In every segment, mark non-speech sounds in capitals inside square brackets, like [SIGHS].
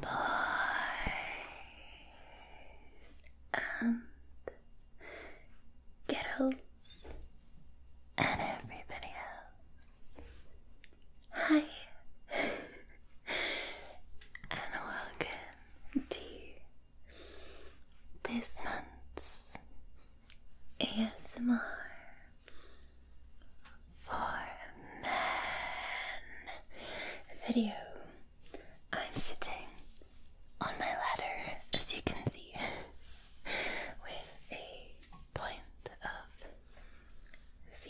boys and girls and everybody else. Hi, [LAUGHS] and welcome to this month's ASMR for men video. I'm sitting on my ladder, as you can see, with a point of V,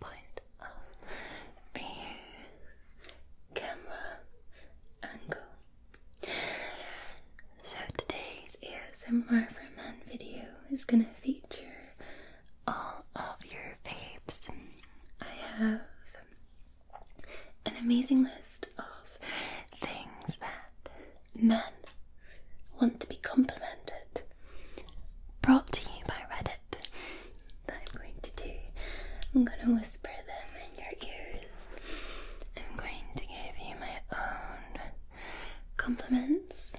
point of B, camera angle so today's ASMR for Men video is gonna feature all of your faves. I have an amazing list of things that men want to be complimented, brought to you by Reddit. That I'm going to do. I'm gonna whisper them in your ears. I'm going to give you my own compliments.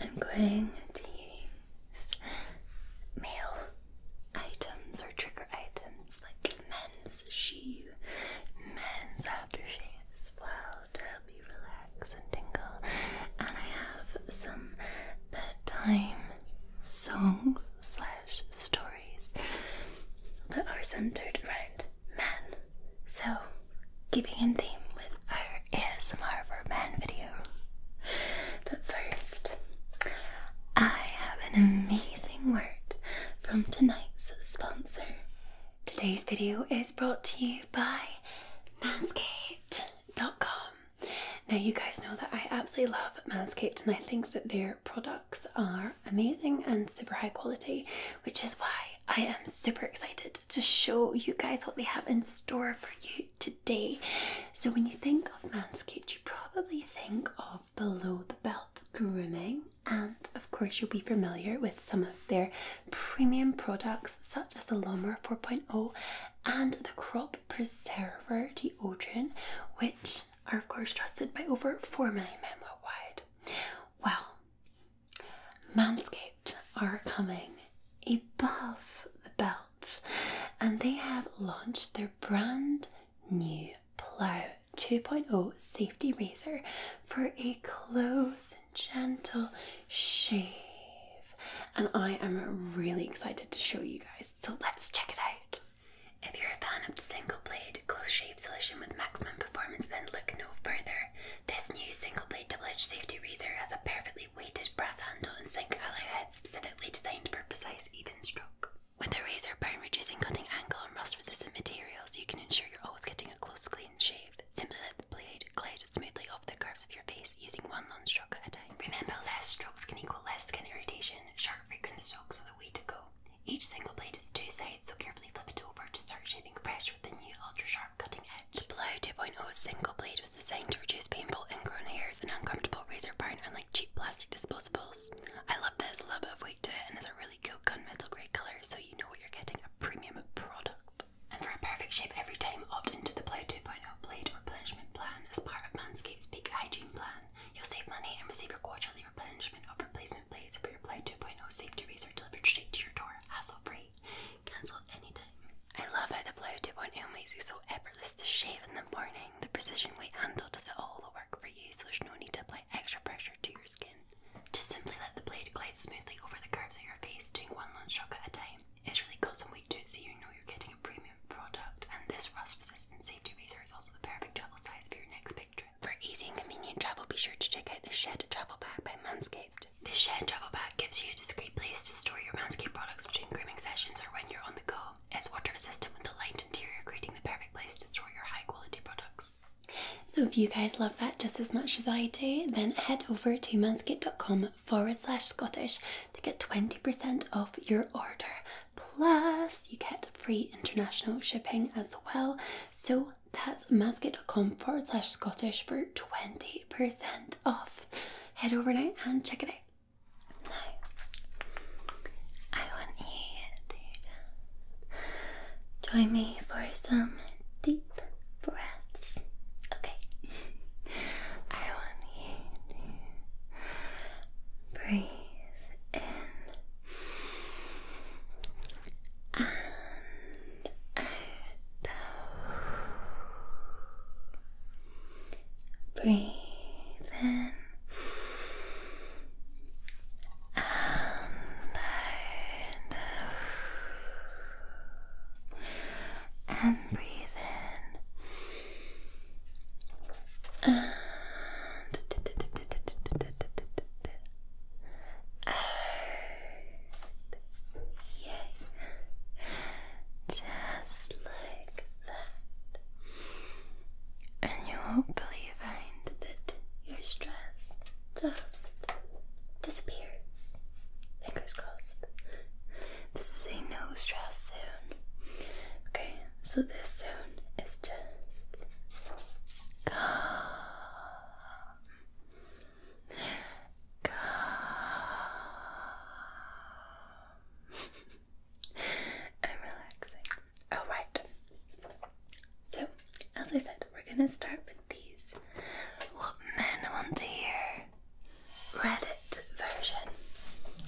I'm going to use male items or trigger items like men's shoe, men's aftershave well to help you relax and tingle. And I have some bedtime songs slash stories that are centered around men. So, keeping in theme with our ASMR for Men video. But first, I have an amazing word from tonight's sponsor. Today's video is brought to you by Manscaped.com. Now, you guys know that I absolutely love Manscaped and I think that their products are amazing and super high quality, which is why I am super excited to show you guys what they have in store for you today. So, when you think of Manscaped, you probably think of below the belt grooming, and of course, you'll be familiar with some of their premium products, such as the Lommer 4.0 and the Crop Preserver deodorant, which are, of course, trusted by over 4 million men worldwide. Well, Manscaped are coming above the belt and they have launched their brand new Plow 2.0 safety razor for a close and gentle shave. And I am really excited to show you guys, so let's check it out. If you're a fan of the single blade close shave solution with maximum performance, then look no further. This new single blade double edge safety razor has a perfectly weighted brass handle and sink alloy head specifically designed for precise, even stroke. With a razor burn reducing cutting angle and rust resistant materials, you can ensure you're always getting a close, clean shave. Simply let the blade glide smoothly over the curves of your face using one long stroke at a time. Remember, less strokes can equal less skin irritation. Sharp, frequent strokes are the way to go. Each single blade has two sides, so carefully flip it over to start shaving fresh with the new ultra sharp cutting edge. The Plow 2.0 single blade was designed to reduce painful ingrown hairs and uncomfortable razor burn, unlike cheap plastic disposables. I love that it has a little bit of weight to it and it's a really cool gunmetal grey colour, so you know what you're getting a premium product. And for a perfect shape every time, opt into the blade 2.0 blade replenishment plan as part of Manscaped's big hygiene plan. You'll save money and receive your quarterly replenishment or replacement and blades for your blade 2.0 safety razor delivered straight to your door, hassle-free. Cancel anytime. I love how the blade 2.0 makes it so effortless to shave in the morning. The precision weight handle does all the work for you, so there's no need to apply extra pressure to your skin. Just simply let the blade glide smoothly over the curves of your face, doing one long stroke at a time. It's really good some weight to it, so you know you're getting a premium product. And this rust-resistant safety razor is also the perfect travel size for your next big trip. For easy and convenient travel, be sure to check out the Shed Travel Bag by Manscaped. This Shed Travel Bag gives you a discreet place to store your Manscaped products between grooming sessions or when you're on the go. It's water resistant with a light interior, creating the perfect place to store your high quality products. So, if you guys love that just as much as I do, then head over to manscaped.com forward slash Scottish to get 20% off your order. Plus, you get free international shipping as well. So that's masket.com forward slash Scottish for 20% off. Head over and check it out. I want you to join me for some deep breaths. Okay. [LAUGHS] I want you to breathe in and out. Breathe in and out. And breathe in yeah. Just like that. And you hopefully find that your stress just disappears. Fingers crossed. This is a no stress zone. Okay, so this zone is just Come. Come. I'm All right. So, as I said, we're going to start with these. What men want to hear? Reddit version.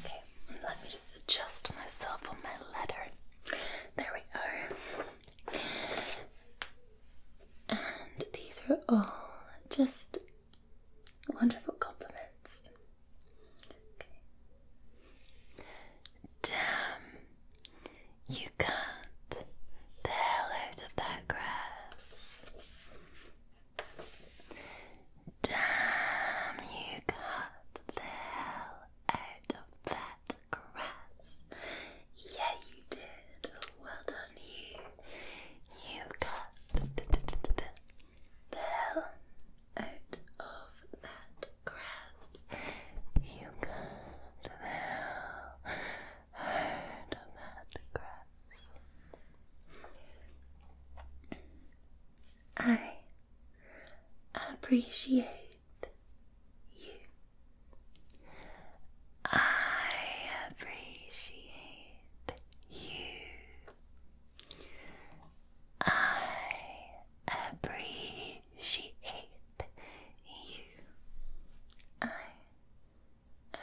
Okay, let me just adjust myself on my letter. There we are. And these are all just wonderful compliments. Damn, you cut the hell out of that grass. Damn, you cut the hell out of that grass. Yeah, you did. Well done, you. You got the out of that grass. You got the hell out of that grass. I appreciate you. I appreciate you. I appreciate you. I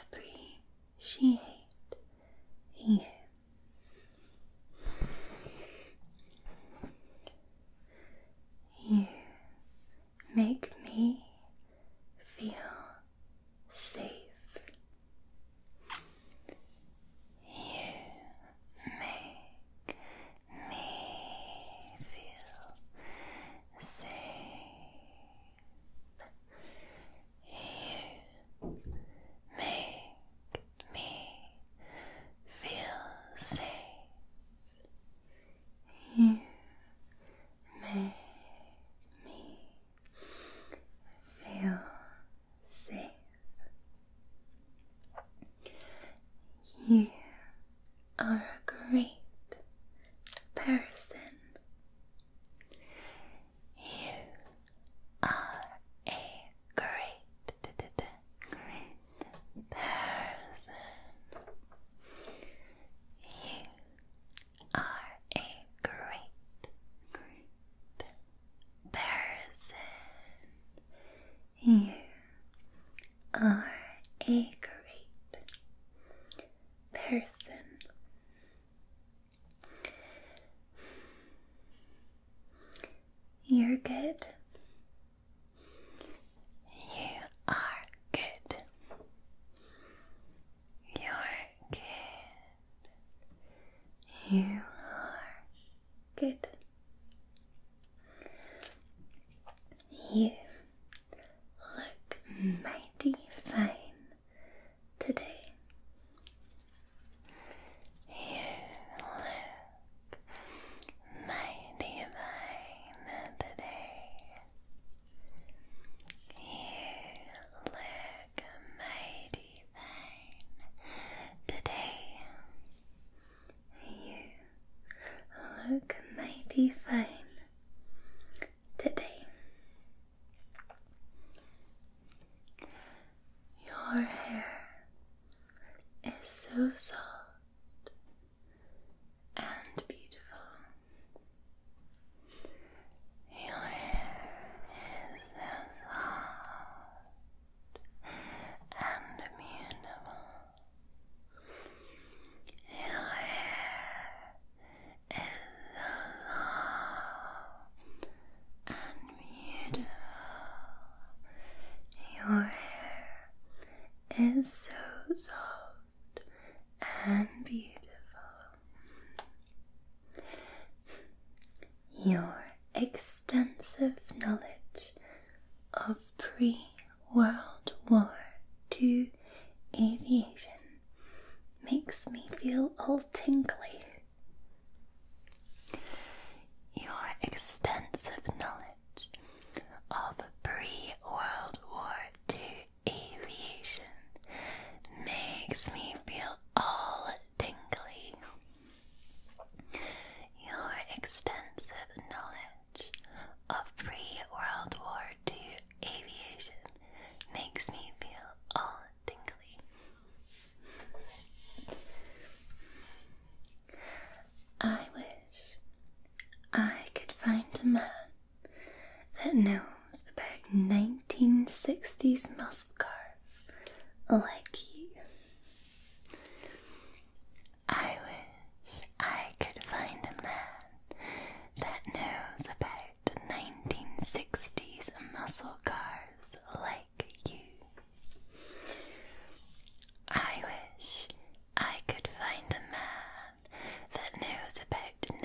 appreciate you. You make me feel safe. You make me feel safe. You make me feel safe. You make me feel safe. You are a great person. You are a great, great person. You are a great, great person. You are a great person. You're good. You are good. You're good. You are good. You look mighty fine today. You mighty divine today. You look mighty fine today. You look mighty fine today. Your hair is so soft and beautiful. Your hair is soft and immutable. Your hair is soft and beautiful. Your hair is so soft and beautiful. Your extensive knowledge of pre World War II aviation makes me feel all tingly. Your extensive knowledge of pre World War II aviation makes me feel all tingly. Your extensive knowledge of pre World War II aviation makes me feel all tingly. I wish I could find a man that knows about 1960s muscle cars like you. I wish I could find a man that knows about 1960s muscle cars like you. I wish I could find a man that knows about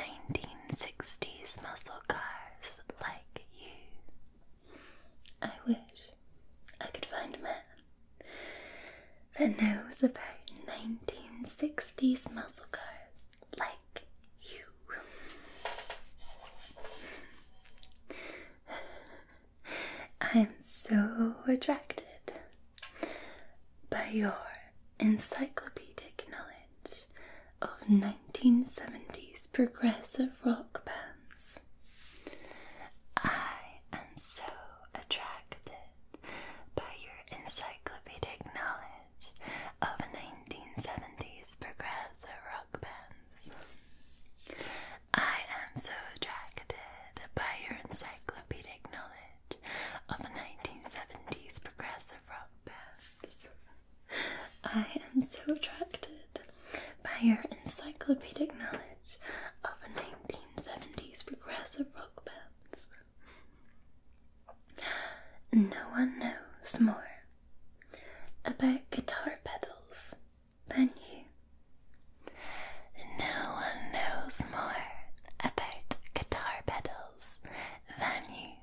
1960s muscle cars like you. I wish I could find a man that knows about 1960s muscle cars like you. I am so attracted by your encyclopedic knowledge of 1970s progressive rock bands. I am so attracted by your encyclopedic knowledge of 1970s progressive rock bands. I am so attracted by your encyclopedic knowledge of 1970s progressive rock bands. I am so attracted by your encyclopedic knowledge of 1970s progressive rock bands. No one knows more about guitar pedals than you. No one knows more about guitar pedals than you.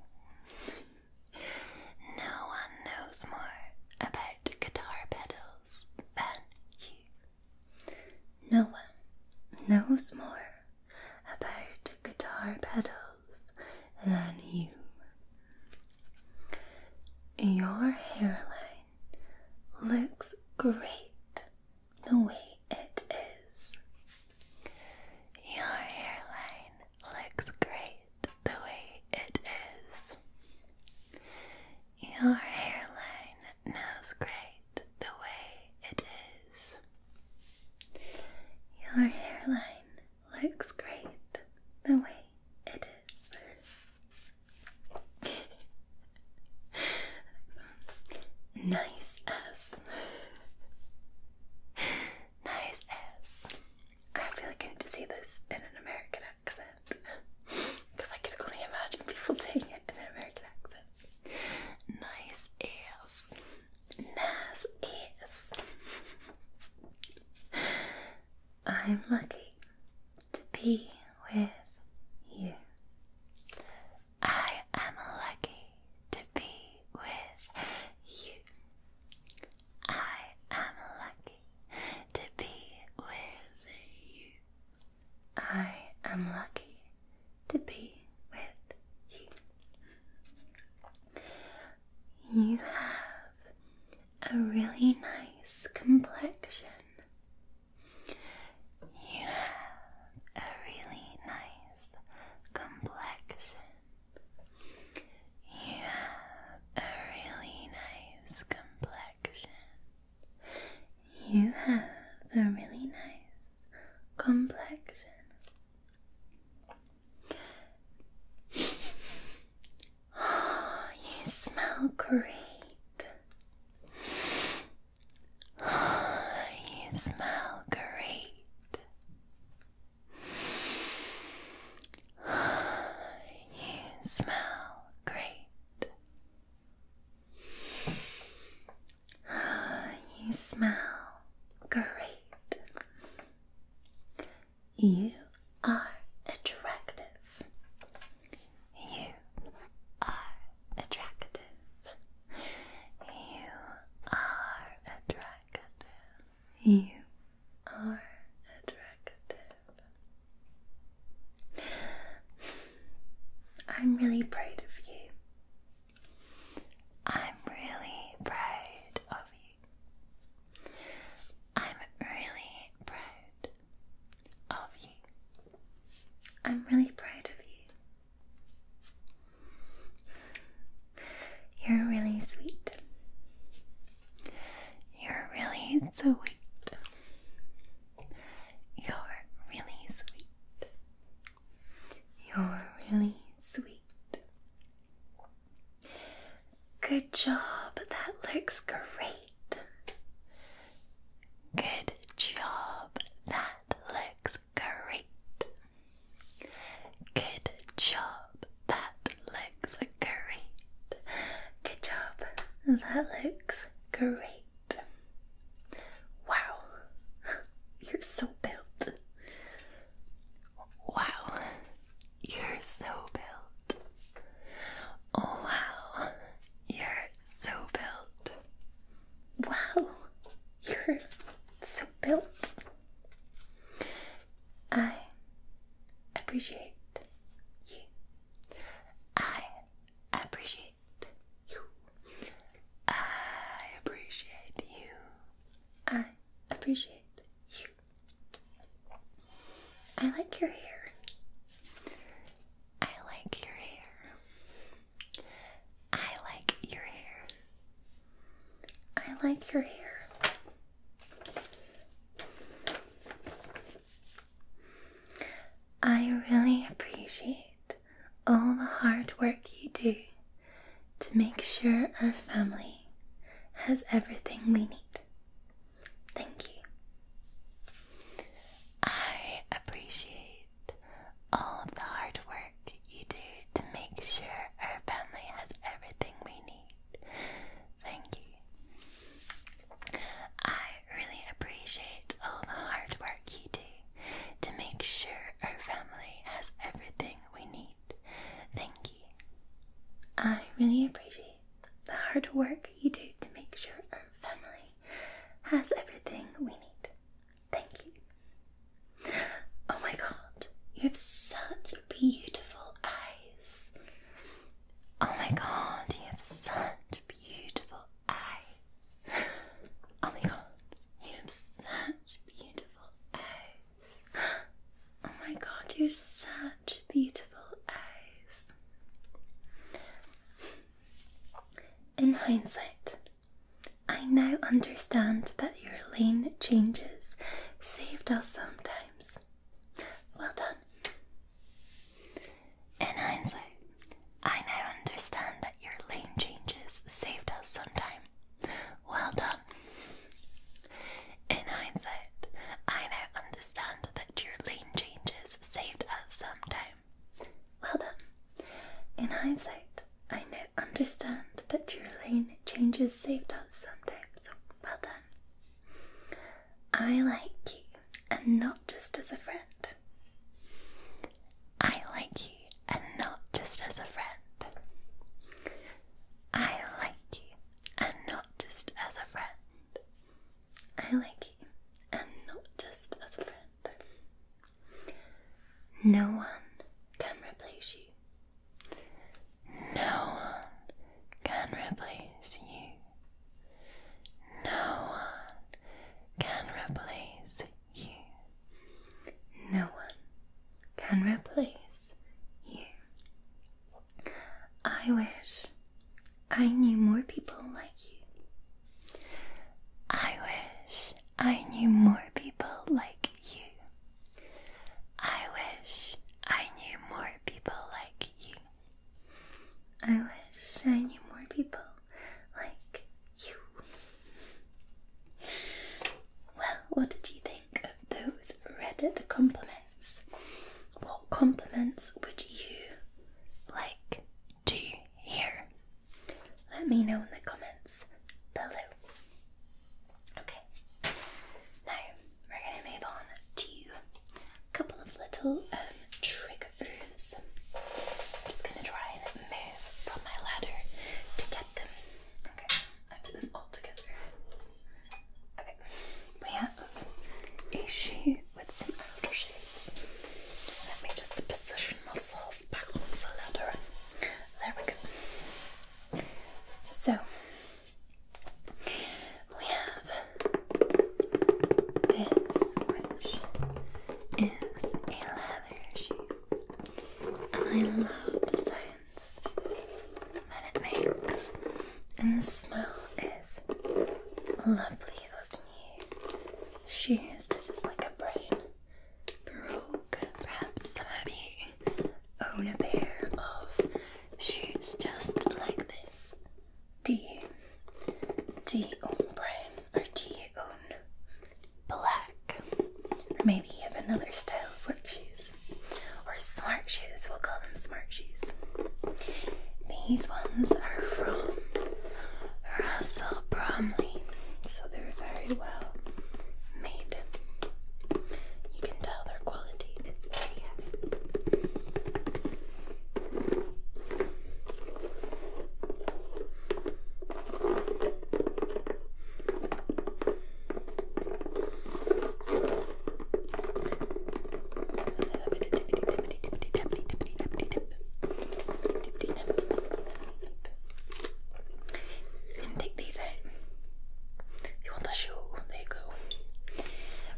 No one knows more about guitar pedals than you. No one knows more about guitar pedals than you. Your hairline looks great the way it is. Your hairline looks great the way it is. Your hairline knows great the way it is. Your hairline looks great the way it is nice ass. nice ass. I feel like I need to see this in an American accent. Because I can only imagine people [LAUGHS] saying it in an American accent. Nice ass. Nice ass. I'm lucky to be with you. I am lucky to be with you. I am lucky to be with you. I am lucky to be with you. You have a really nice complexion. You have a really nice complexion. You have a really nice complexion. You have a really nice complexion. Oh, [GASPS] you smell great. [SIGHS] you smell great. [SIGHS] You smell great. [SIGHS] You smell great. You are attractive. You are attractive. You are attractive. You are attractive. I'm really proud of you. I'm really proud of you. I'm really proud of you. I'm really proud of you. You're really sweet. You're really sweet. You're really sweet. You're really sweet. Good job. That looks great. Good job. That looks great. Good job. That looks great. Good job. That looks great. Wow. You're so built. Wow. You're so built. Oh, wow. You're so built. Wow, you're so built. I appreciate you. I appreciate you. I appreciate you. I appreciate you. I like your hair. I like your hair. I like your hair. I like your hair. I really appreciate all the hard work you do to make sure our family has everything we need. Thank you. I appreciate all of the hard work you do to make sure our family has everything we need. Thank you. I really appreciate all the hard work you do to make sure our family has everything we need. Thank you. I really appreciate the hard work you do to make sure our family has everything we need. Thank you. Oh my god, you have such beautiful eyes. Oh my god, you have such beautiful eyes. Oh my god, you have such beautiful eyes. Oh my god, you have such beautiful eyes in hindsight, I now understand that your lane changes saved us sometimes. Well done. In hindsight, I now understand that your lane changes saved us sometimes. Well done. In hindsight, I now understand that your lane changes saved us sometime. Well done. In hindsight, I now understand that your lane changes saved us sometimes, so well done. I like you, and not just as a friend. I like you, and not just as a friend. I like you, and not just as a friend. I like you, and not just as a friend. No one can replace you. No one can replace you. No one can replace you. No one can replace you. I wish I knew more people like you. I wish I knew more people like you. I wish I knew more people like you. I wish I knew more people like you. Well, what did you think of those Reddit compliments? What compliments would you like do you hear? Let me know in the comments below. Okay, now we're going to move on to a couple of little um, triggers. I'm just going to try and move from my ladder to get them. Okay, I put them all together. Okay, we have a shoe with some aftershaves. Let me just position myself back on the ladder. There we go. So we have this, which is a leather shoe, and I love the sounds that it makes, and the smell is lovely of new shoes. This is like a brain Perhaps some of own a pair of shoes just like this. Do you? Do you own brown or do you own black? Or maybe you have another style of work shoes or smart shoes. We'll call them smart shoes. These ones are from Russell [SIGHS] Bromley. So they're very well made. You can tell their quality and take these out. you want a shoe, there you go.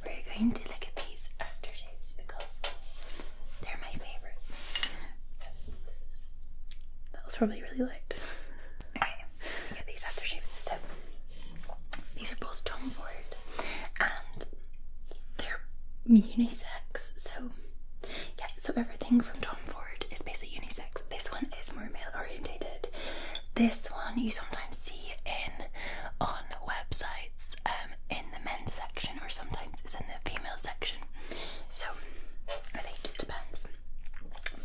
We're going to look at these aftershaves because they're my favourite. That was probably really light. Okay, get these aftershaves. So these are both Tom Ford and they're unisex, so yeah, so everything from Tom Ford is basically unisex. This one is more male orientated. This one you sometimes see in on websites um, in the men's section, or sometimes it's in the female section. So I think it just depends.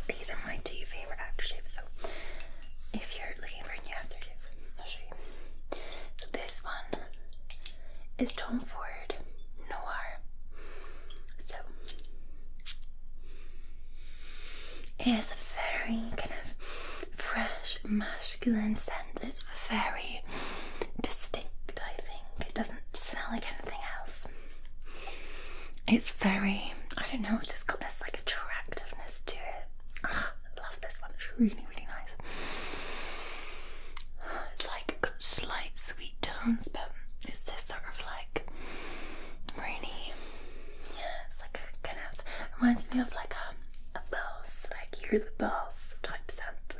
These are my two favorite aftershaves. So if you're looking for a new aftershave, I'll show you. So this one is Tom Ford Noir. So it has a very kind of fresh masculine scent. It's very distinct, I think. It doesn't smell like anything else. It's very I don't know, it's just got this like attractiveness to it. I love this one, really really, nice. It's like got slight sweet tones, but it's this sort of like rainy. Yeah, it's like a kind of reminds me of like a a bells, like you're the bells type scent.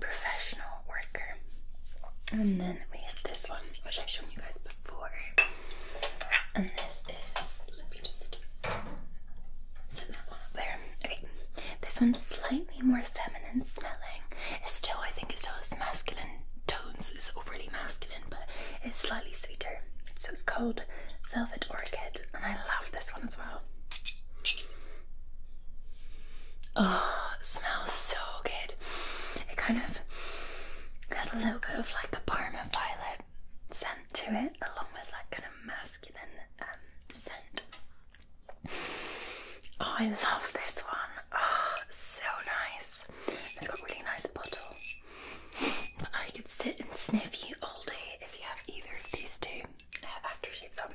Professional worker. And then we have this one, which I've shown you guys before. And this is let me just set that one up there. Okay, this one's slightly more feminine smelling. It's still, I think, it still has masculine tones. It's overly masculine, but it's slightly sweeter. So it's called Velvet Orchid, and I love this one as well. Oh, smells so good. It kind of has a little bit of like a Parma violet scent to it, along with like kind of masculine um, scent. Oh, I love this one. Oh, so nice. It's got really nice bottle. I could sit and sniff you all day if you have either of these two uh, after she's on.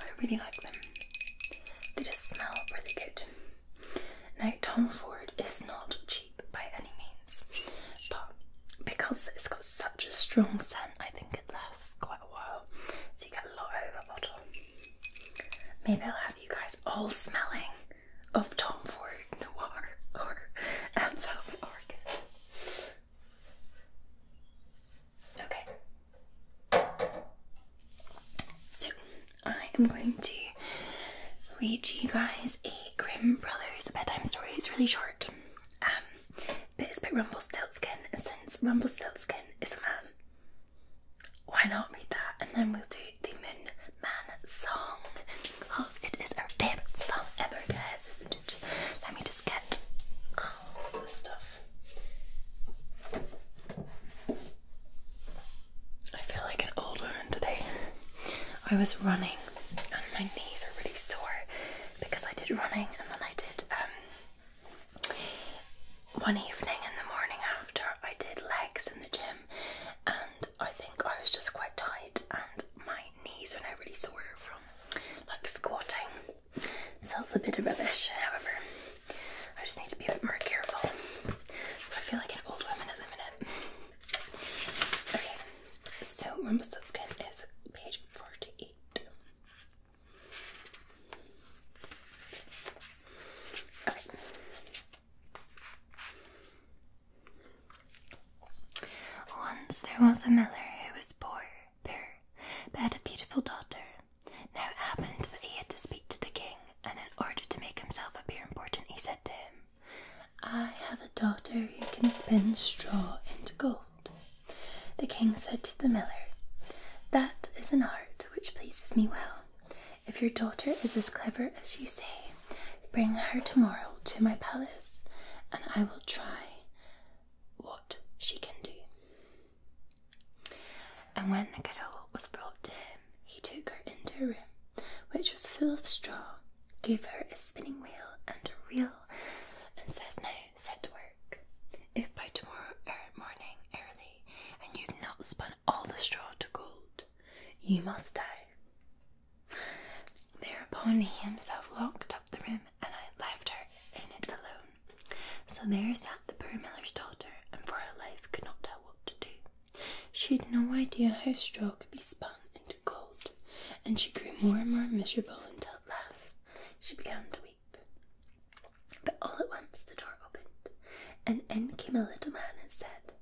I really like them. They just smell really good. Now, Tom Ford is not cheap by any means, but because it's got such a strong scent, I think it lasts quite so you get a lot over bottle. Maybe I'll have you guys all smelling of Tom Ford Noir or um, [LAUGHS] Velvet Okay. So I am going to read you guys a Grimm Brothers bedtime story. It's really short. Um, but it's about Rumpelstiltskin, and since Rumpelstiltskin is a man, why not read that? And then we'll do the Moon Man song because it is our favourite song ever, guys, isn't it? Let me just get all the stuff. I feel like an old woman today. I was running and my knees are really sore because I did running and then I did um one evening in the morning after I did legs in the gym, and I think I was just quite tight, and my knees are now really sore from like squatting. So it's a bit of rubbish, however. I just need to be a bit more careful. So I feel like an old woman at the minute. Okay, so Rumpelstiltskin is page 48. Once there was a miller who was poor, but had a beautiful daughter. Now it happened that he had to speak to the king, and in order to make himself appear important, he said to him, I have a daughter who can spin straw into gold. The king said to the miller, That is an art which pleases me well. If your daughter is as clever as you say, bring her tomorrow to my palace, and I will try what she can do. And when the girl was brought to him, he took her into a room which was full of straw, gave her a spinning wheel and a reel, and said, Now set to work. If by tomorrow er morning early, and you've not spun all the straw to gold, you must die. Thereupon he himself locked up the room, and I left her in it alone. So there sat the poor miller's daughter, and for her life could not tell what to do. She had no idea how straw could be spun into gold, and she grew more and more miserable until at last she began to weep. But all at once the door opened, and in came a little man and said,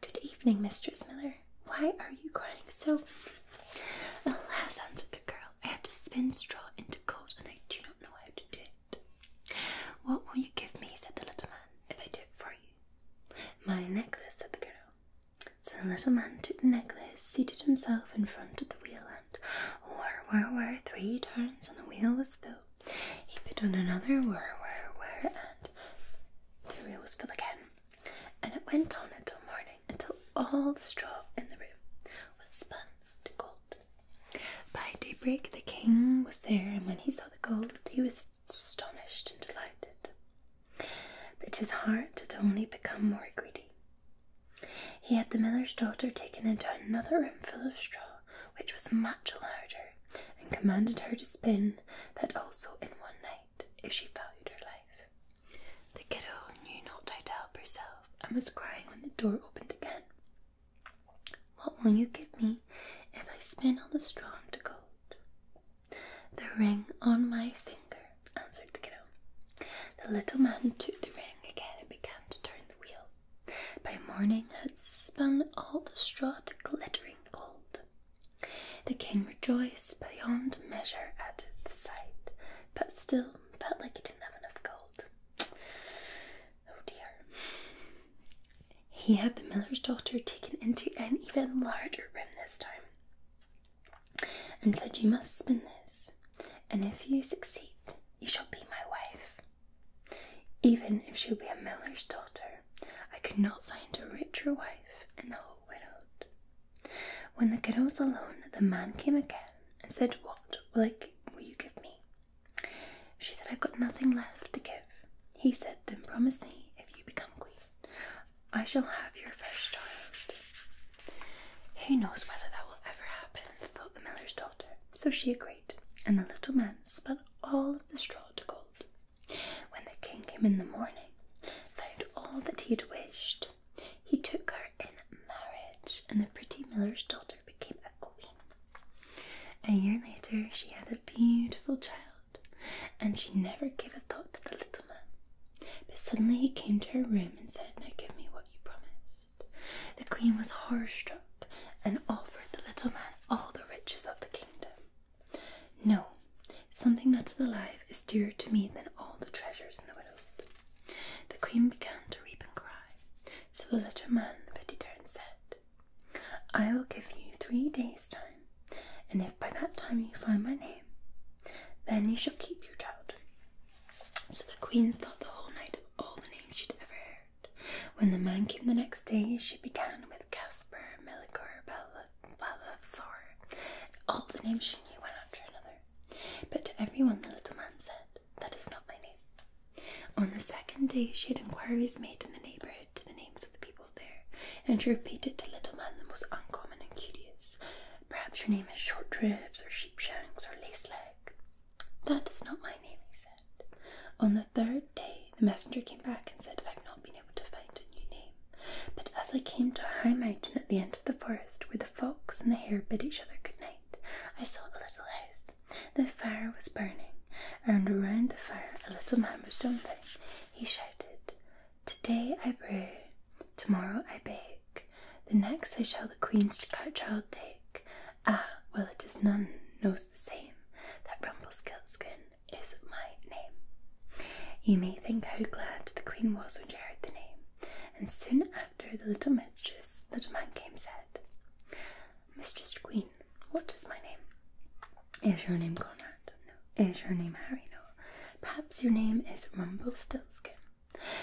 Good evening, Mistress Miller. Why are you crying so? Alas, answered the girl, I have to spin straw into gold, and I do not know how to do it. What will you give me? said the little man, if I do it for you. My necklace, said the girl. So the little man took the necklace, seated himself in front of the wheel, turned, whir, whir, whir, three turns, and the wheel was full. He put on another whir, whir, whir, and the wheel was full again. And it went on until morning, until all the straw in the room was spun to gold. By daybreak, the king was there, and when he saw the gold, he was astonished and delighted. But his heart had only become more greedy. He had the miller's daughter taken into another room full of straw, which was much larger, and commanded her to spin that also in one night, if she valued her life. The kiddo knew not how to help herself, and was crying when the door opened again. What will you give me if I spin all the straw into gold? The ring on my finger, answered the kiddo. The little man took the ring again and began to turn by morning had spun all the straw to glittering gold. The king rejoiced beyond measure at the sight, but still felt like he didn't have enough gold. Oh dear. He had the miller's daughter taken into an even larger room this time and said, You must spin this and if you succeed, you shall be my wife. Even if she be a miller's daughter, I could not find a richer wife in the whole world. When the girl was alone, the man came again and said, What will, I, will you give me? She said, I've got nothing left to give. He said, Then promise me, if you become queen, I shall have your first child. Who knows whether that will ever happen, thought the miller's daughter. So she agreed, and the little man spun all the straw to gold. When the king came in the morning, found all that he had wished, he took her in marriage, and the pretty miller's daughter became a queen. A year later, she had a beautiful child, and she never gave a thought to the little man. But suddenly he came to her room and said, Now give me what you promised. The queen was horror struck and offered the little man all the riches of the kingdom. No, something that is alive is dearer to me than all the treasures in the world. The queen began to weep and cry, so the little man pitied her and said, I will give you three days' time, and if by that time you find my name, then you shall keep your child. So the queen thought the whole night of all the names she'd ever heard. When the man came the next day, she began with Caspar, Melikor, Balthazar, and all the names she knew one after another. But to everyone the little man said, That is not my name. On the second day, she had inquiries made in the neighbourhood to the names of the people there, and she repeated to little man the most uncommon and curious. Perhaps your name is Short Ribs, or Sheepshanks, or Lace Leg. That is not my name, he said. On the third day, the messenger came back and said, I've not been able to find a new name. But as I came to a high mountain at the end of the forest, where the fox and the hare bid each other good night, I saw a little house. The fire was burning, and around the fire a little man was jumping. He shouted, Today I brew, tomorrow I bake, the next I shall the queen's child take, Ah, well, it is none knows the same that Rumpelstiltskin is my name. You may think how glad the queen was when she heard the name, and soon after the little mistress, little man came said, Mistress Queen, what is my name? Is your name Conrad? No. Is your name Harry? No. Perhaps your name is Rumpelstiltskin.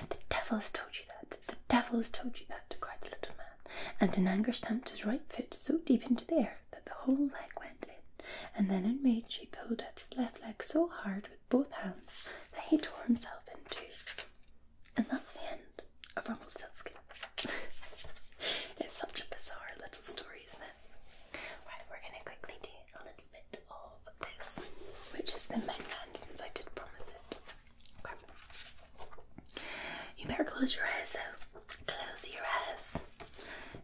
The devil has told you that, the devil has told you that, cried the little man, and in anger stamped his right foot so deep into the air that the whole leg went in, and then in rage he pulled at his left leg so hard with both hands that he tore himself in two. And that's the end of Rumpelstiltskin. [LAUGHS] it's such a bizarre little story, isn't it? Right, we're going to quickly do a little bit of this, which is the Megman since I did promise it. You better close your eyes though. Close your eyes.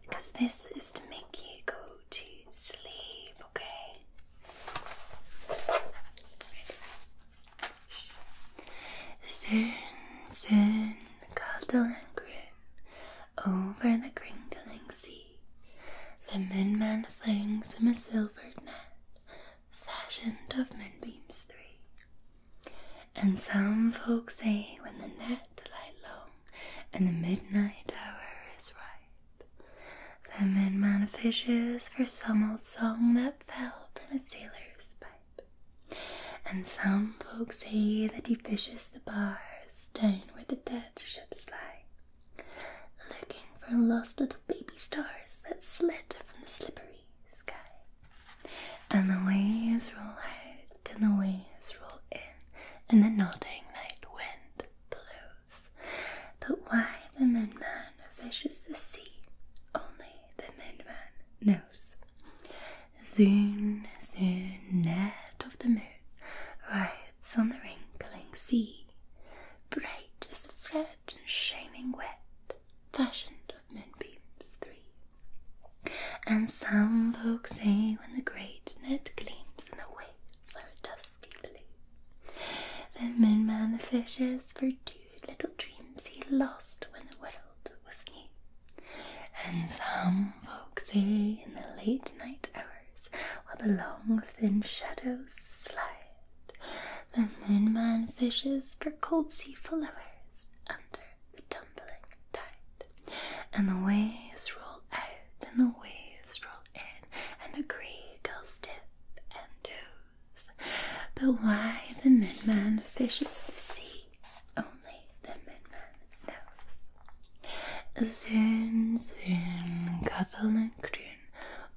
Because this is to make you go to sleep, okay? Soon, soon, the Caldelan grin over the crinkling sea. The moonman flings him a silver net fashioned of moonbeams three. And some folk say when the net light long and the midnight hour is ripe, the moonman fishes for some old song that fell from a sailor's pipe. And some folk say that he fishes the bars down where the dead ships lie, looking for lost little baby stars that slid from the slipper sky. And the waves roll out, and the waves roll in, and the nodding night wind blows. But why the moon man fishes the sea, only the moon man knows. Zoon, zoon, net of the moon rides on the wrinkling sea. Bright as the fresh and shining wet, fashioned of moonbeams three. And some folks say when the great net gleams in the waves so dusky blue, the moonman fishes for two little dreams he lost when the world was new. And some folks say in the late night hours, while the long thin shadows slide, the moonman fishes for cold sea followers under the tumbling tide. And the waves roll out, and the waves roll in, and the grey gulls dip and doze. But why the moonman fishes the sea, only the moonman knows. Zoon, zoon, cuddle and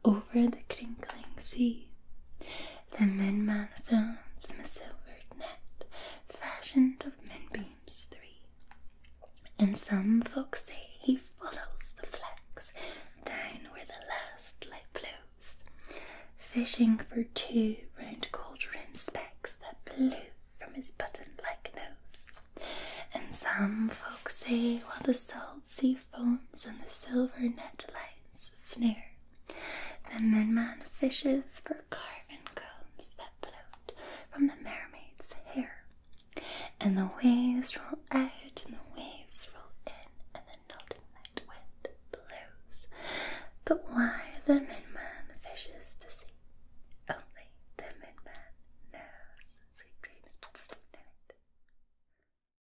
over the crinkling sea. The moonman films my silvered net, fashioned of moonbeams three. And some folks say he follows the flags down where the last light blows, fishing for two round gold rimmed specks that blew from his button like nose. And some folks say while the salt sea foams and the silver net lines snare. The midman fishes for carven combs that float from the mermaid's hair. And the waves roll out and the waves roll in, and the nodding night wind blows. But why the midman fishes the sea? Only the midman knows. Sweet dreams. Night.